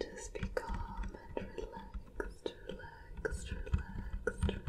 Just be calm and relaxed, relaxed, relaxed, relaxed.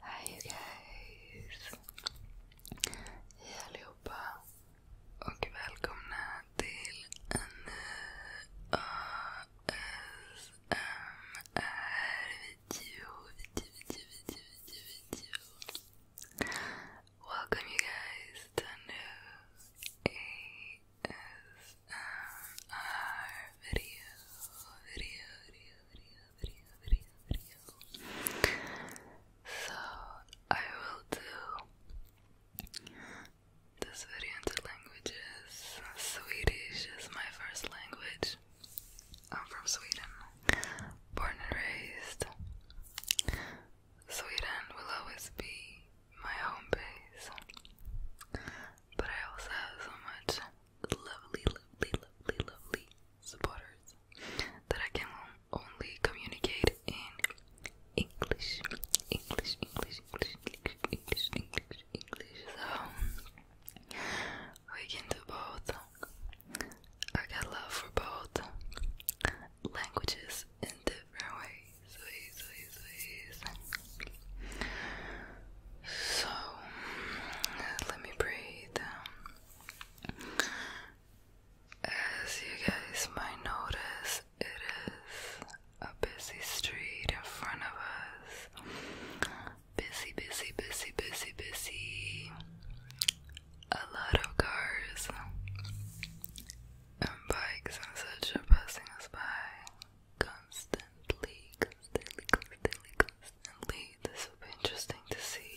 Hi you guys! Hej allihopa! Och välkomna till en ny eh, video video, video, video, video, Welcome you guys to a new so I will do this video into languages. Swedish is my first language. I'm from Sweden, born and raised. Sweden will always be my home base. But I also have so much lovely, lovely, lovely, lovely supporters that I can only communicate in English. English, English, English, English, English, English, English. So we can do both. I got love for both languages in different ways, ways, ways, ways. So let me breathe. As you guys might notice, it is a busy street in front of us. Busy, busy, busy, busy, busy. A lot of cars and bikes and such are passing us by constantly, constantly, constantly, constantly. This will be interesting to see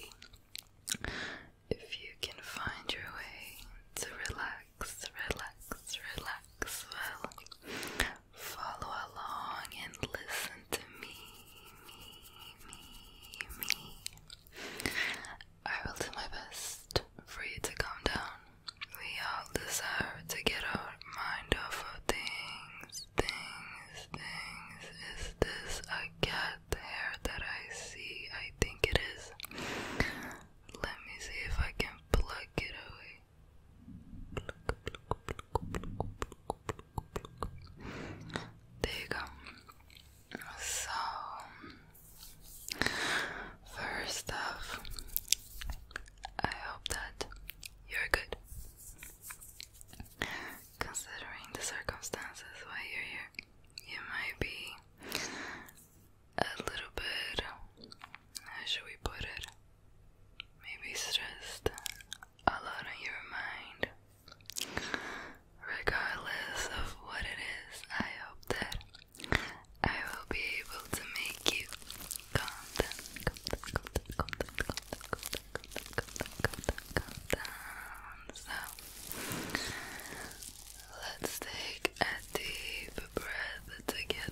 if you can find your way to relax, relax, relax. Well, follow along and listen to me, me, me, me. I will do my best for you to calm down. We all desire to get our mind off of things, things, things. Is this a cat hair that I see? I think it is. Let me see if I can pluck it away. There you go. So, first off, I hope that you're good. Considering the circumstances why you're here, you might be a little bit, how should we put it? Maybe stressed, a lot on your mind. Regardless of what it is, I hope that I will be able to make you calm down, calm down, calm down, calm down, calm So let's take a deep breath together.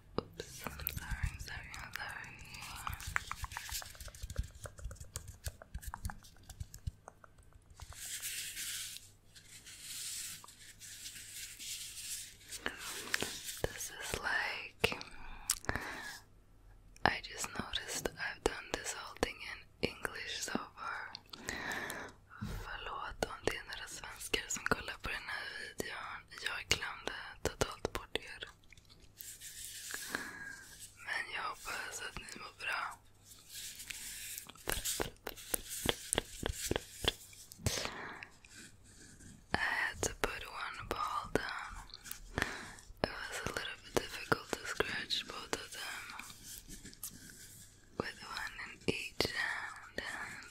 Oops, I'm sorry, sorry, sorry. This is like I just noticed I've done this whole thing in English so far. Förlåt om det är svenskar som kollar på den här videon. Jag glömde totalt bort Men jag hoppas att ni mår bra. I had to put one ball down. It was a little bit difficult to scratch both of them with one in each hand.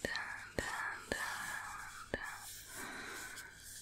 down.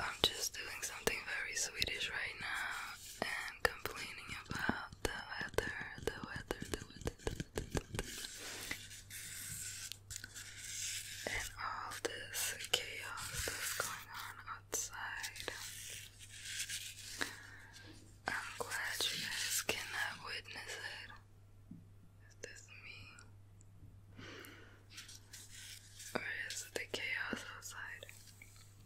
I'm just doing something very Swedish right now and complaining about the weather, the weather, the weather, and all this chaos that's going on outside. I'm glad you guys cannot witness it. Is this me? Or is it the chaos outside?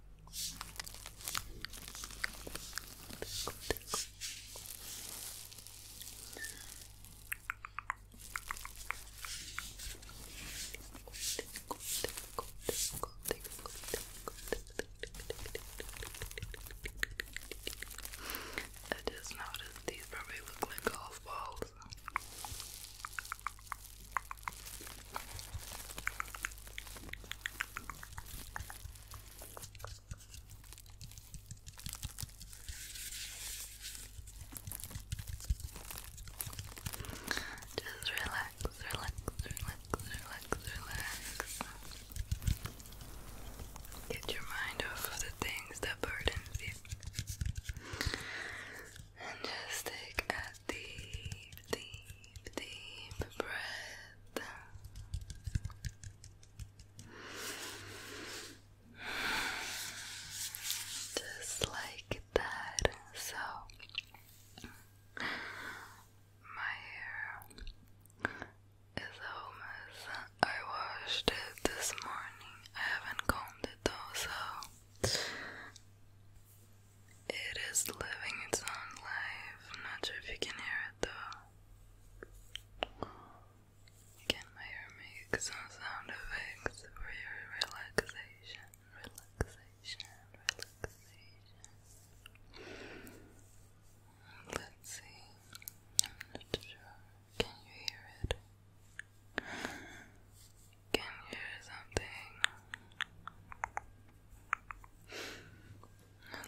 I just noticed these probably look like golf balls. Just relax, relax, relax, relax, relax. Get your mind off the things that burden you. And just take a deep, deep, deep breath. Just like that. So my hair is almost. I washed it this morning. I haven't combed it though, so it is living its own life. not sure if you can hear it though. Again, my hair makes some sound effects for your relaxation, relaxation, relaxation. Let's see. I'm not sure. Can you hear it? Can you hear something?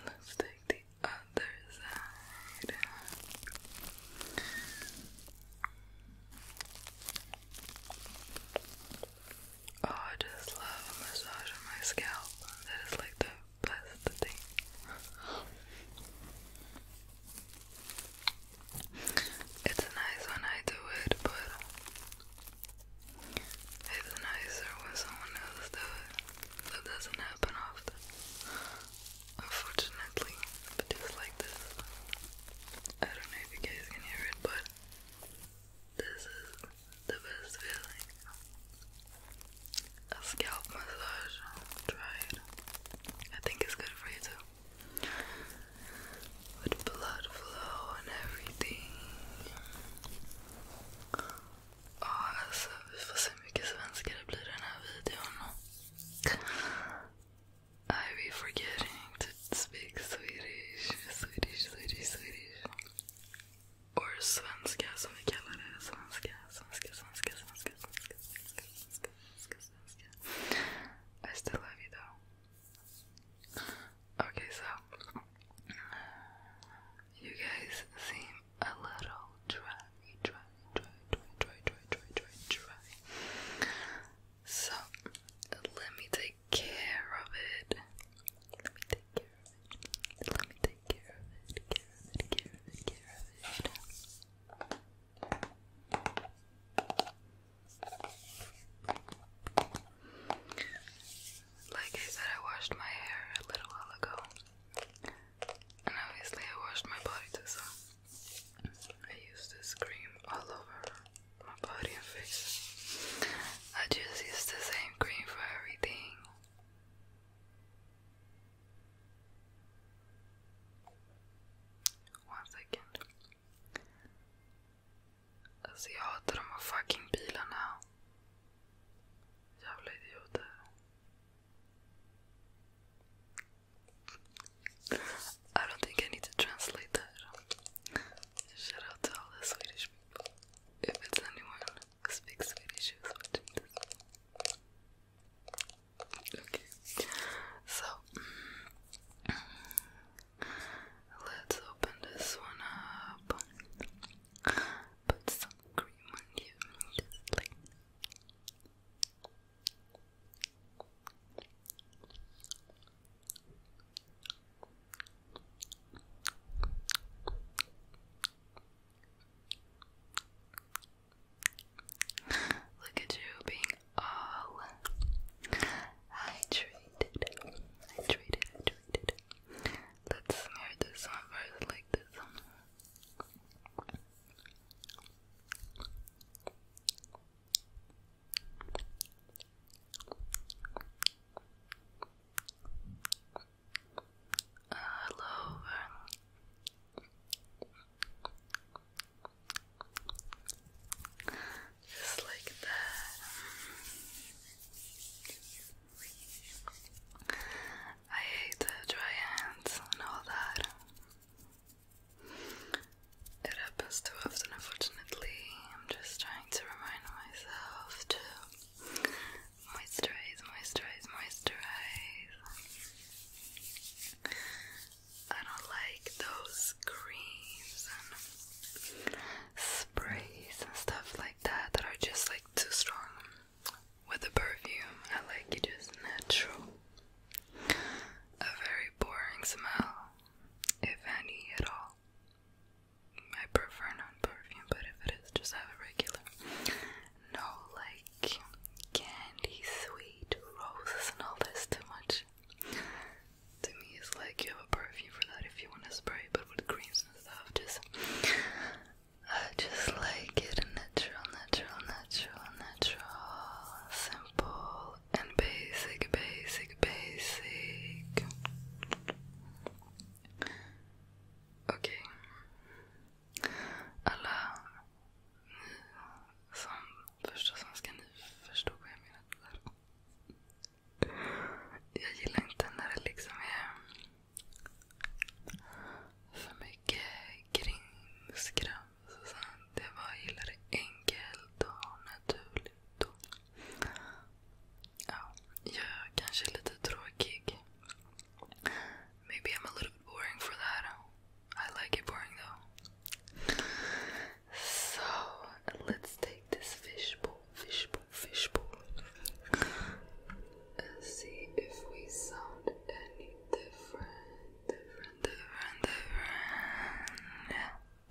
let's take the other side. Oh, I just love a massage on my scalp. That is like the best thing. It's nice when I do it, but it's nicer when someone else does That doesn't happen often. Unfortunately, but just like this. I don't know if you guys can hear it, but this is the best feeling. A scalp massage. Try it. I think it's good for you too. With blood flow and everything. Ja, alltså vi får se hur mycket svenska det blir i den här videon. I be forgetting to speak Swedish, Swedish, Swedish, Swedish. Or svenska som vi kallar det. Svenska, svenska, svenska, svenska, svenska, svenska, svenska, svenska, svenska. I still love you though. Okay, so. You guys seem a little dry, dry, dry, dry, dry, dry, dry, dry, dry. So let me take care of it. Let me take care of it. Let me take care of it. Care of it. Like I said, I washed my hair a little while ago. And obviously, I washed my body too, so I used this cream all over my body and face. I just use the same cream for everything. One second. Alltså jag hatar de här fucking bilarna. I don't think I need to translate that. Shout out to all the Swedish people. If it's anyone who speaks Swedish who's watching this. Okay. So let's open this one up put some cream on you. Just like Look at you being all hydrated. Hydrated, hydrated. Let's smear this one first, like this one. Uh, hello. Just like that. I hate uh, dry hands and all that. It happens too often, unfortunately. I'm just trying to remind myself to moisturize, moisturize, moisturize. I don't like those creams and sprays and stuff like that that are just like too strong. With a perfume, I like it just natural. A very boring smell, if any at all. I prefer non perfume, but if it is, just have a regular. No, like candy, sweet, roses, and all this too much. To me, it's like you have a perfume for that if you want to spray, but with greens and stuff, just I just like it natural, natural, natural, natural, simple and basic, basic, basic. Okay. Alla ni som första svenska, ni förstod vad jag menade där. Jag gillar inte när det För mycket grins, grams och sånt. Det var, jag gillar det enkelt och naturligt. Och, Maybe I'm a little bit boring for that. I like it boring though. So, let's take this fishbowl, fishbowl fishbowl. let see if we sound any different, different, different,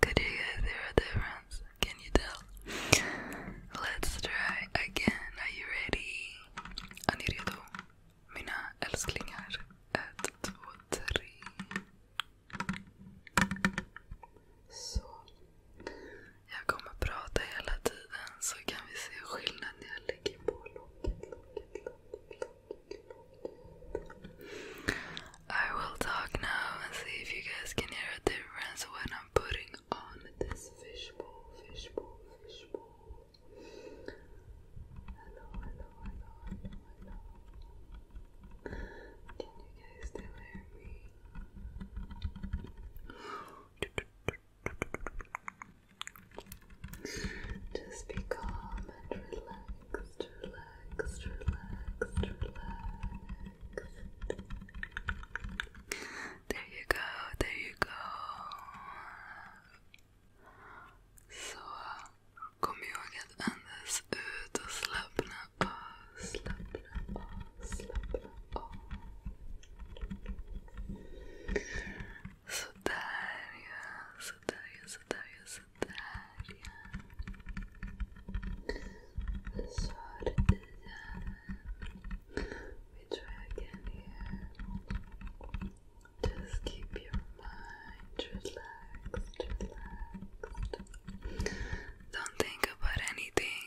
different. Could you guys hear a difference? Can you tell? Let's try again. Are you ready? Ani Mina älsklingar. Ett, två, oh tre. I will talk now and see if you guys can hear a difference when I'm putting on this fishbowl, fishbowl, fishbowl. Hello, hello, hello, hello, Can you guys hear me? Just be calm and relaxed, relaxed, relaxed, relaxed. There you go, there you go. Så kom ihåg att andas ut uh, och slappna av, slappna av, slappna Sotaria, Sotaria, Sotaria, Sotaria. Sorry, yeah. we Just keep your mind relaxed, relaxed. Don't think about anything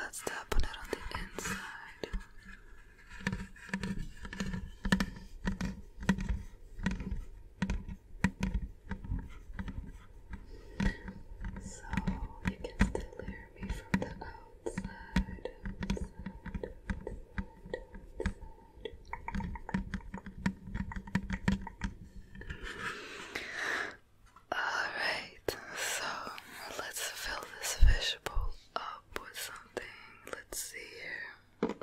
Let's tap on it on the inside. So you can still hear me from the outside. Alright, so let's fill this fishbowl up with something. Let's see here.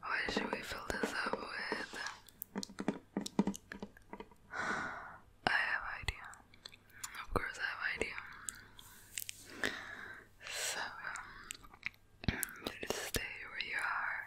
What should we fill this up with? I have idea. Of course I have idea. So um, just stay where you are.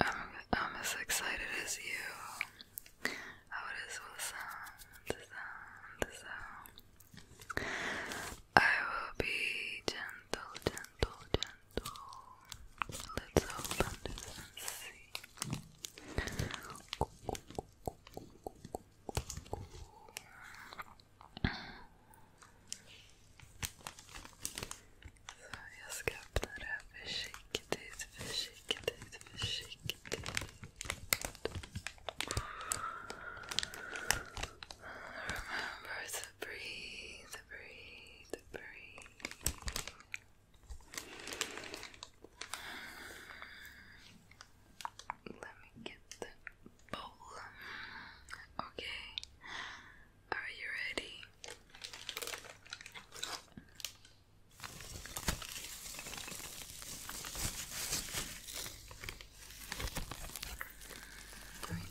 I'm, I'm as excited as you. How oh, it is will sound. I will be gentle, gentle, gentle. Let's open this and see. Så jag ska öppna det här försiktigt, Remember to breathe, breathe, breathe. Let me get the bowl. Okay. Are you ready? We're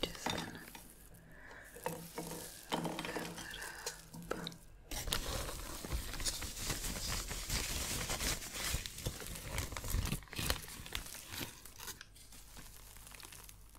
just going it up.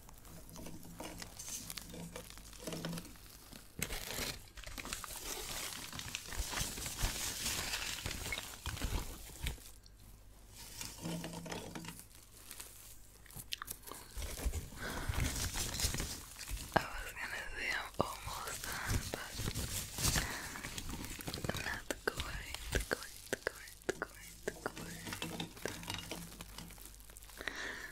I was gonna say I'm almost done, but I'm not quite,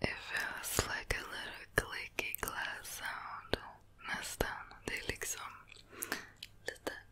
It feels like a little clicky glass sound. Nästan. Det är liksom lite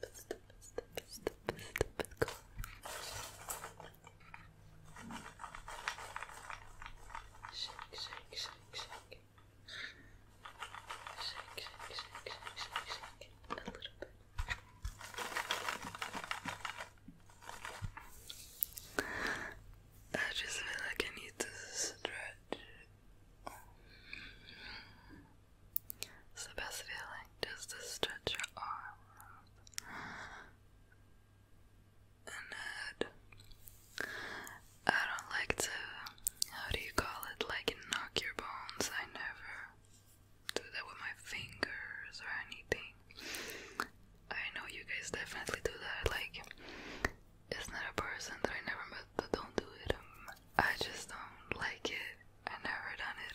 step, step, step, step, step, go. Shake, shake, shake, shake. Shake, shake, shake, shake, shake, shake. A little bit. I just feel like I need to stretch. It's the best feeling just to stretch your arm and uh, I don't like to, how do you call it, like knock your bones. I never do that with my fingers or anything. I know you guys definitely do that. Like, it's not a person that I never met that don't do it. Um, I just don't like it. I never done it.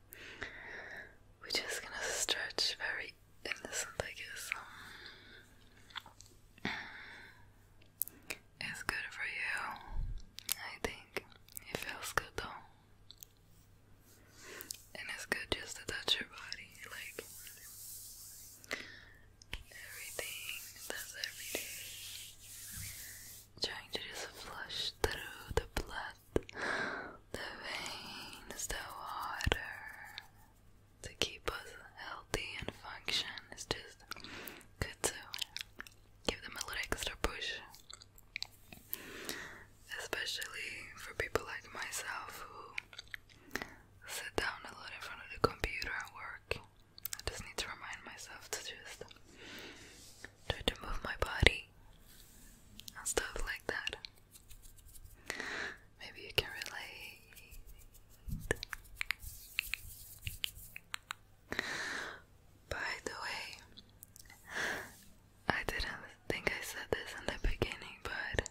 We're just gonna stretch very innocent, I guess. Um, it's good for you, I think. It feels good though. And it's good just to touch your body, like everything. That's everything. Trying just flush through the blood the veins, the water. To keep us healthy and function is just good to give them a little extra push. Especially for people like myself who sit down a lot in front of the computer and work. I just need to remind myself to just try to move my body stuff like that. Maybe you can relate. By the way, I didn't think I said this in the beginning, but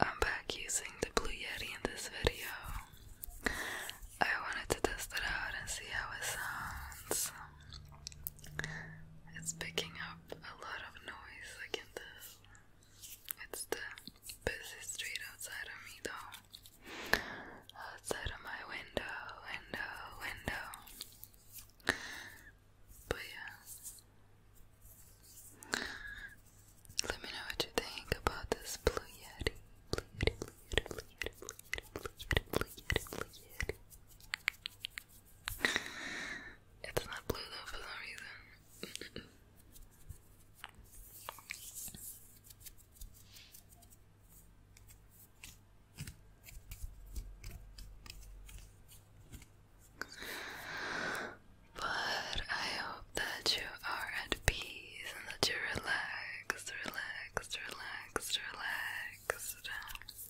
I'm back using the Blue Yeti in this video. I wanted to test it out and see how it sounds. It's picking up a lot of noise, I can tell. It's the busy street outside of me, though. Outside of my window, window, window. But yeah. Let me know what you think about this Blue yeti, blue yeti, blue yeti, blue yeti, blue yeti, blue yeti, blue yeti, blue yeti. It's not blue though for some reason. But I hope that you are at peace and that you're relaxed, relaxed, relaxed, relaxed.